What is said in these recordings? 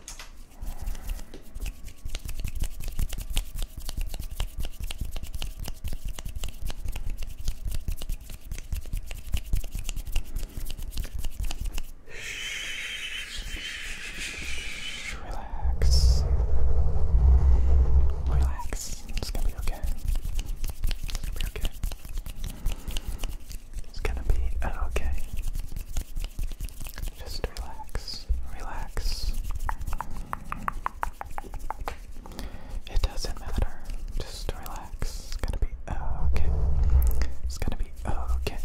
Shh, relax. Relax. It's gonna be okay. It's gonna be it's gonna be oh, okay. Just relax, relax. It doesn't matter. Just relax. It's gonna be oh, okay. It's gonna be oh, okay.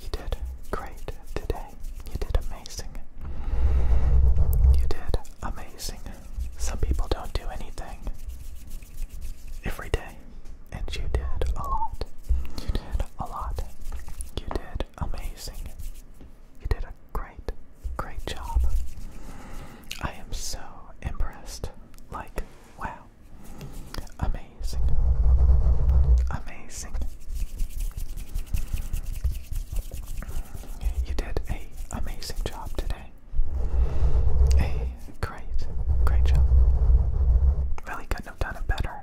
You did great today. You did amazing. You did amazing. Some people don't do anything every day and you did a lot. You did a lot. You did amazing. You did a great, great job. I am so impressed. Like, wow. Amazing. Amazing. You did a amazing job today. A great, great job. Really couldn't have done it better.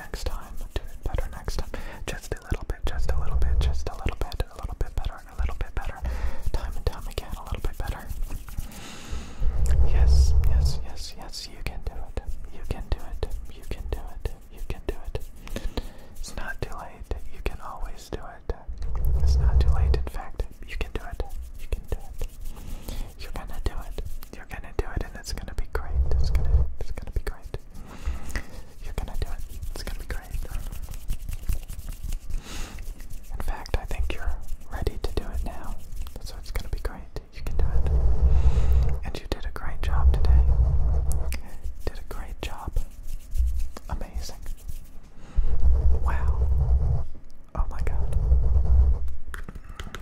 next time. Do it better next time. Just a little bit, just a little bit, just a little bit, a little bit better, a little bit better. Time and time again, a little bit better. Yes, yes, yes, yes, you can do it. You can do it. You can do it. You can do it. It's not too late. You can always do it. It's not too late, in fact. You can do it. You can do it. You're gonna do it. You're gonna do it, and it's gonna be great. It's gonna, be great. You're gonna do it. It's gonna be great. In fact, I think you're ready to do it now. So it's gonna be great. You can do it. And you did a great job today. Did a great job. Amazing. Wow. Oh my god.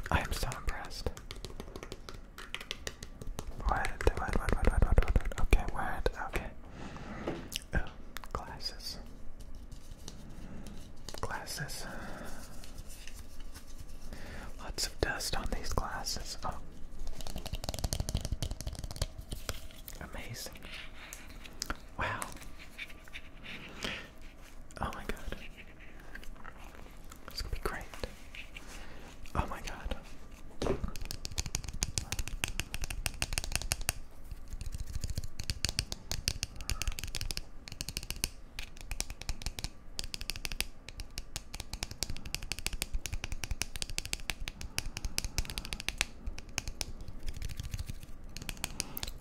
I am so impressed. Where did they, wait, wait, wait, wait, wait, okay, wait, okay. Oh, glasses. Glasses. Lots of dust on these glasses. Oh. Amazing. Wow. Oh my god. It's gonna be great. Oh my god.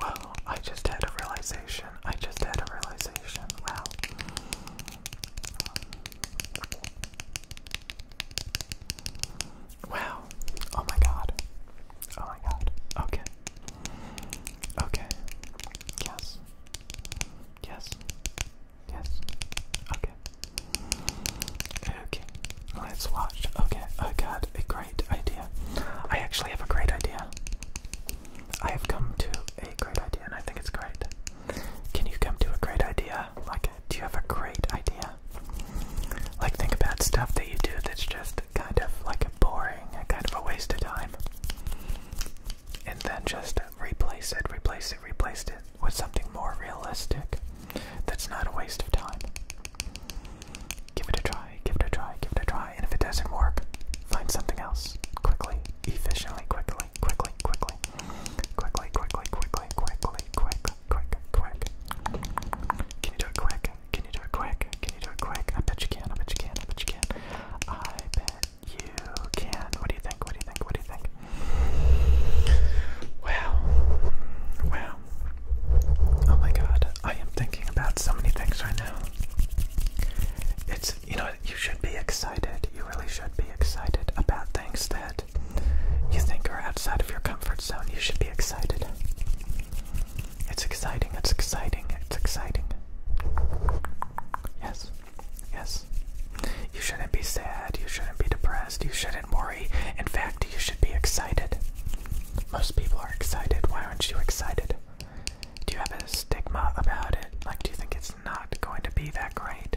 Wow, I just had a realization. I just had a realization. Wow. Wow. Oh my god. Oh my god. Okay. Okay. Yes. Yes. Yes. Okay. Okay. Let's watch. Okay. I oh got a great idea. I actually have a great idea. I have come to a great idea, and I think it's great. Can you come to a great idea? Like, do you have a great idea? Like, think about stuff that you do that's just kind of like boring, kind of a waste of time. And then just replace it, replace it, replace it with something more realistic that's not a waste of time. Give it a try, give it a try, give it a try. Uh, and if it doesn't work, find something else quickly, efficiently, quickly, quickly, quickly, quickly, quickly, quickly, quickly, quick, quick, quick. Can you do it quick? Can you do it quick? Can you do it quick? I bet you can. I bet you can. I bet you can. I bet you can. What do you think? What do you think? What do you think? Wow. Wow. Oh my god. I am thinking about so many things right now. It's you know you should be excited. You really should be excited about things that you think are outside of your comfort zone. You should be excited. It's exciting. It's exciting. It's exciting. Yes. Yes. You shouldn't be sad. You shouldn't be depressed. You shouldn't worry. In fact, you should be excited. Most people are excited. Why aren't you excited? Do you have a stigma about it? Like, do you think it's not going to be that great?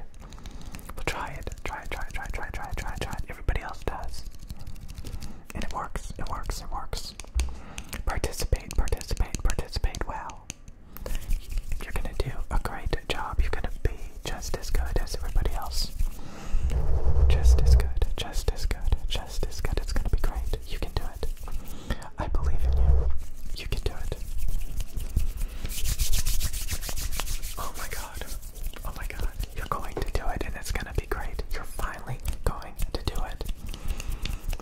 Well, try Try it, try it, try it, try it, try it, try it, try it. Everybody else does. And it works, it works, it works. Participate, participate, participate well. You're gonna do a great job. You're gonna be just as good as everybody else. Just as good, just as good, just as good. It's gonna be great. You can do it. I believe in you. You can do it. Oh my god. Oh my god. You're going to do it and it's going to be great. You're finally going to do it.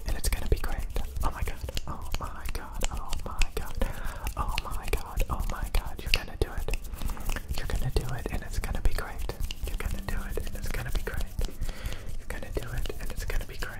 And it's going to be great. Oh my god. Oh my god. Oh my god. Oh my god. Oh my god. You're going to do it. You're going to do it and it's going to be great. You're going to do it and it's going to be great. You're going to do it and it's going to be great.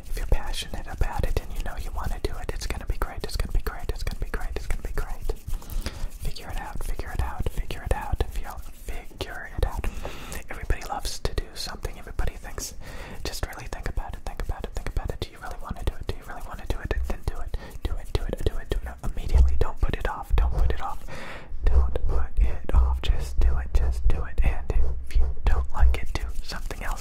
if you're passionate about it and you know you want to do it, it's gonna be great. It's gonna be great. It's gonna be great. It's gonna be great. Figure it out. Figure it out. Figure it out. Figure it out. Everybody loves to do something. Everybody thinks. Just really think about it. Think about it. Think about it. Do you really want to do it? Do you really want to do it? Then do it. Do it. Do it. Do it. Do it. No, immediately. Don't put it off. Don't put it off. Don't put it off. Just do it. Just do it. And if you don't like it, do something else.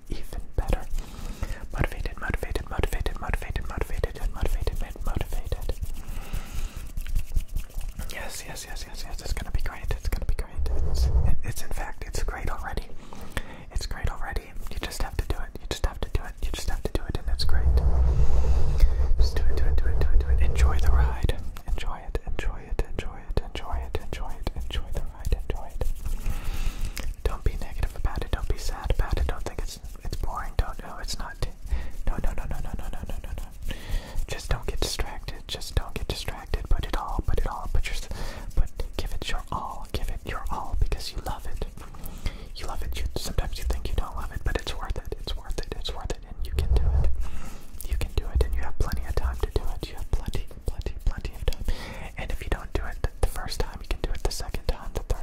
even better. Motivated, motivated, motivated, motivated, motivated, and motivated, motivated. Yes, yes, yes, yes, yes. It's gonna be great. It's gonna be great. It's, it's in fact, it's great already. It's great already. You just have to do it. You just have to do it. You just have to do it, and it's great. Just do it, do it, do it, do it, do it. Enjoy the ride. Enjoy it. Enjoy it. Enjoy it. Enjoy it. Enjoy it. Enjoy the ride. Enjoy it. Don't be negative about it. Don't be sad about it. Don't think it's it's boring. Don't know it's not. no, no, no, no, no, no, no, no, no. Just don't get distracted. Just don't get distracted. Put it all. Put it all. Put your. Put. Give it your all. Give it your all because you love it. You love it. You sometimes you think you don't love it, but it's worth it. It's worth it. It's worth it, and you can do it. You can do it, and you have plenty of time to do it. You have plenty, plenty, plenty of time. And if you don't do it the first time, you can do it the second time, the third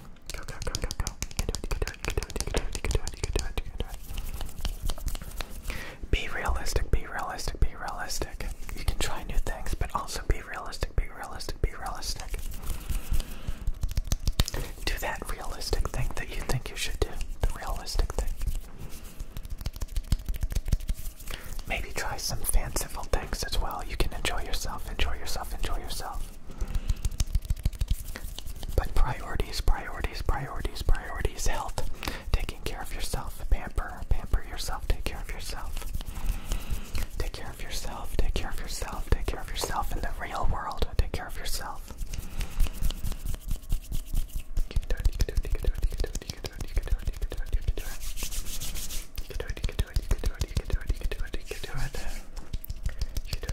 Be realistic, be realistic, be realistic. You can try new things, but also be realistic, be realistic, be realistic. Do that realistic thing that you think you should do. The realistic thing. Maybe try some fanciful things as well. You can enjoy yourself, enjoy yourself, enjoy yourself. But priorities, priorities, priorities, priorities, health, taking care of yourself, pamper, pamper yourself, take care of yourself. Take care of yourself, take care of yourself, take care of yourself in the real world, take care of yourself. You can do it, you can do it, you can do it, you can do it, you can do it, you can do it, you can do it, you can do it. You can do it, you can do it, you can do it, you can do it, you can do it, you can do it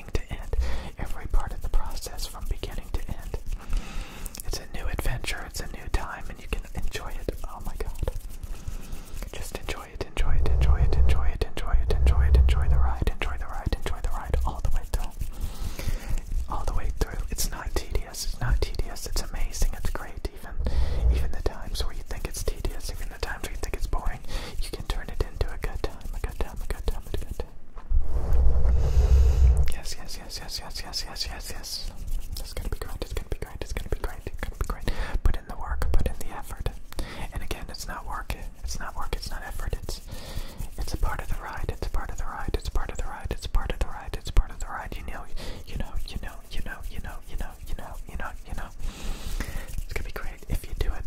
to end, every part of the process from beginning to end. It's a new adventure, it's a new time, and you can enjoy it. Oh my god. Just enjoy it, enjoy it, enjoy it, enjoy it, enjoy it, enjoy it, enjoy the ride, enjoy the ride, enjoy the ride all the way through. All the way through. It's not tedious, it's not tedious, it's amazing, it's great. Even even the times where you think it's tedious, even the times where you think it's boring, you can turn it into a good time, a good time, a good time, a good time. Yes, yes, yes, yes, yes, yes, yes, yes, yes. It's gonna be great, it's gonna be great, it's gonna be great, it's gonna be great. Put in the work, put in the effort. And again, it's not work, it's not work, it's not effort, it's it's a part of the ride, it's a part of the ride, it's part of the ride, it's part of the ride, it's part of the ride, you know, you know, you know, you know, you know, you know, you know, you know, It's gonna be great if you do it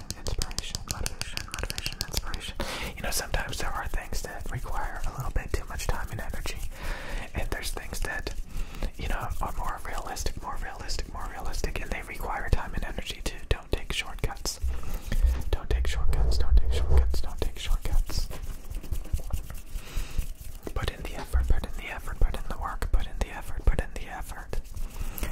inspiration, motivation, motivation, inspiration. You know, sometimes there are things that require a little bit too much time and energy, and there's things that, you know, are more realistic, more realistic, more realistic, and they require time and energy too. Don't take shortcuts. Don't take shortcuts. Don't take shortcuts. Don't take shortcuts. Put in the effort. Put in the effort. Put in the work. Put in the effort. Put in the effort.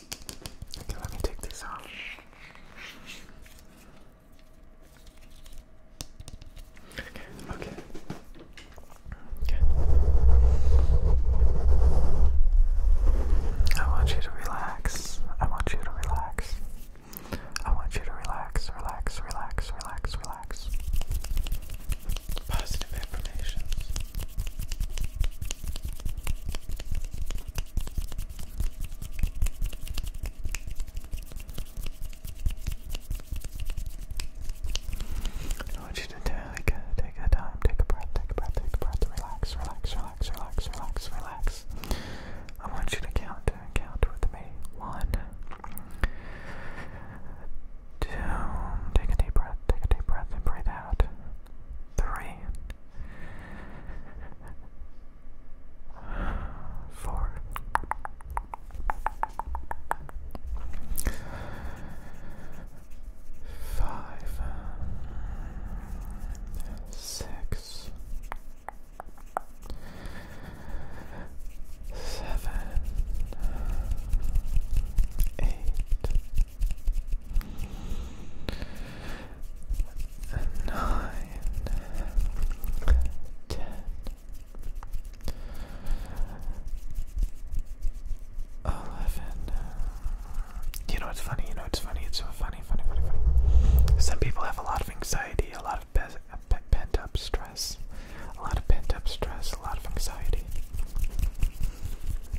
Okay, let me take this off. Okay, okay. Okay. I want you to relax. I want you to relax. I want you to relax, relax, relax, relax, relax. Positive affirmations. I want you to take a, take a time, take a breath, take a breath, take a breath, relax, relax, relax, relax, relax, relax. I want you to count, count with me. One, two, take a deep breath, take a deep breath and breathe out. Three. Four. Five, six, seven, eight, nine, ten, eleven. You know, it's funny. You know, it's funny. It's so funny, funny, funny, funny. Some people have a lot of anxiety, a lot of pent up stress, a lot of pent up stress, a lot of anxiety,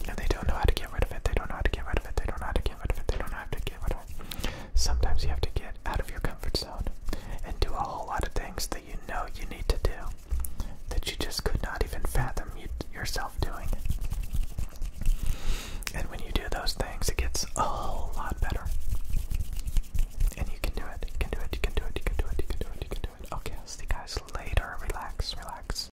and they don't know how to get get rid of it. They don't know how to get rid of it. They don't know how to get rid of it. They don't know to get rid of it. Sometimes you have to get out of your comfort zone and do a whole lot of things that you know you need to do that you just could not even fathom yourself doing. And when you do those things, it gets a whole lot better. And you can do it. You can do it. You can do it. You can do it. You can do it. You can do it. Okay, I'll see you guys later. Relax. Relax.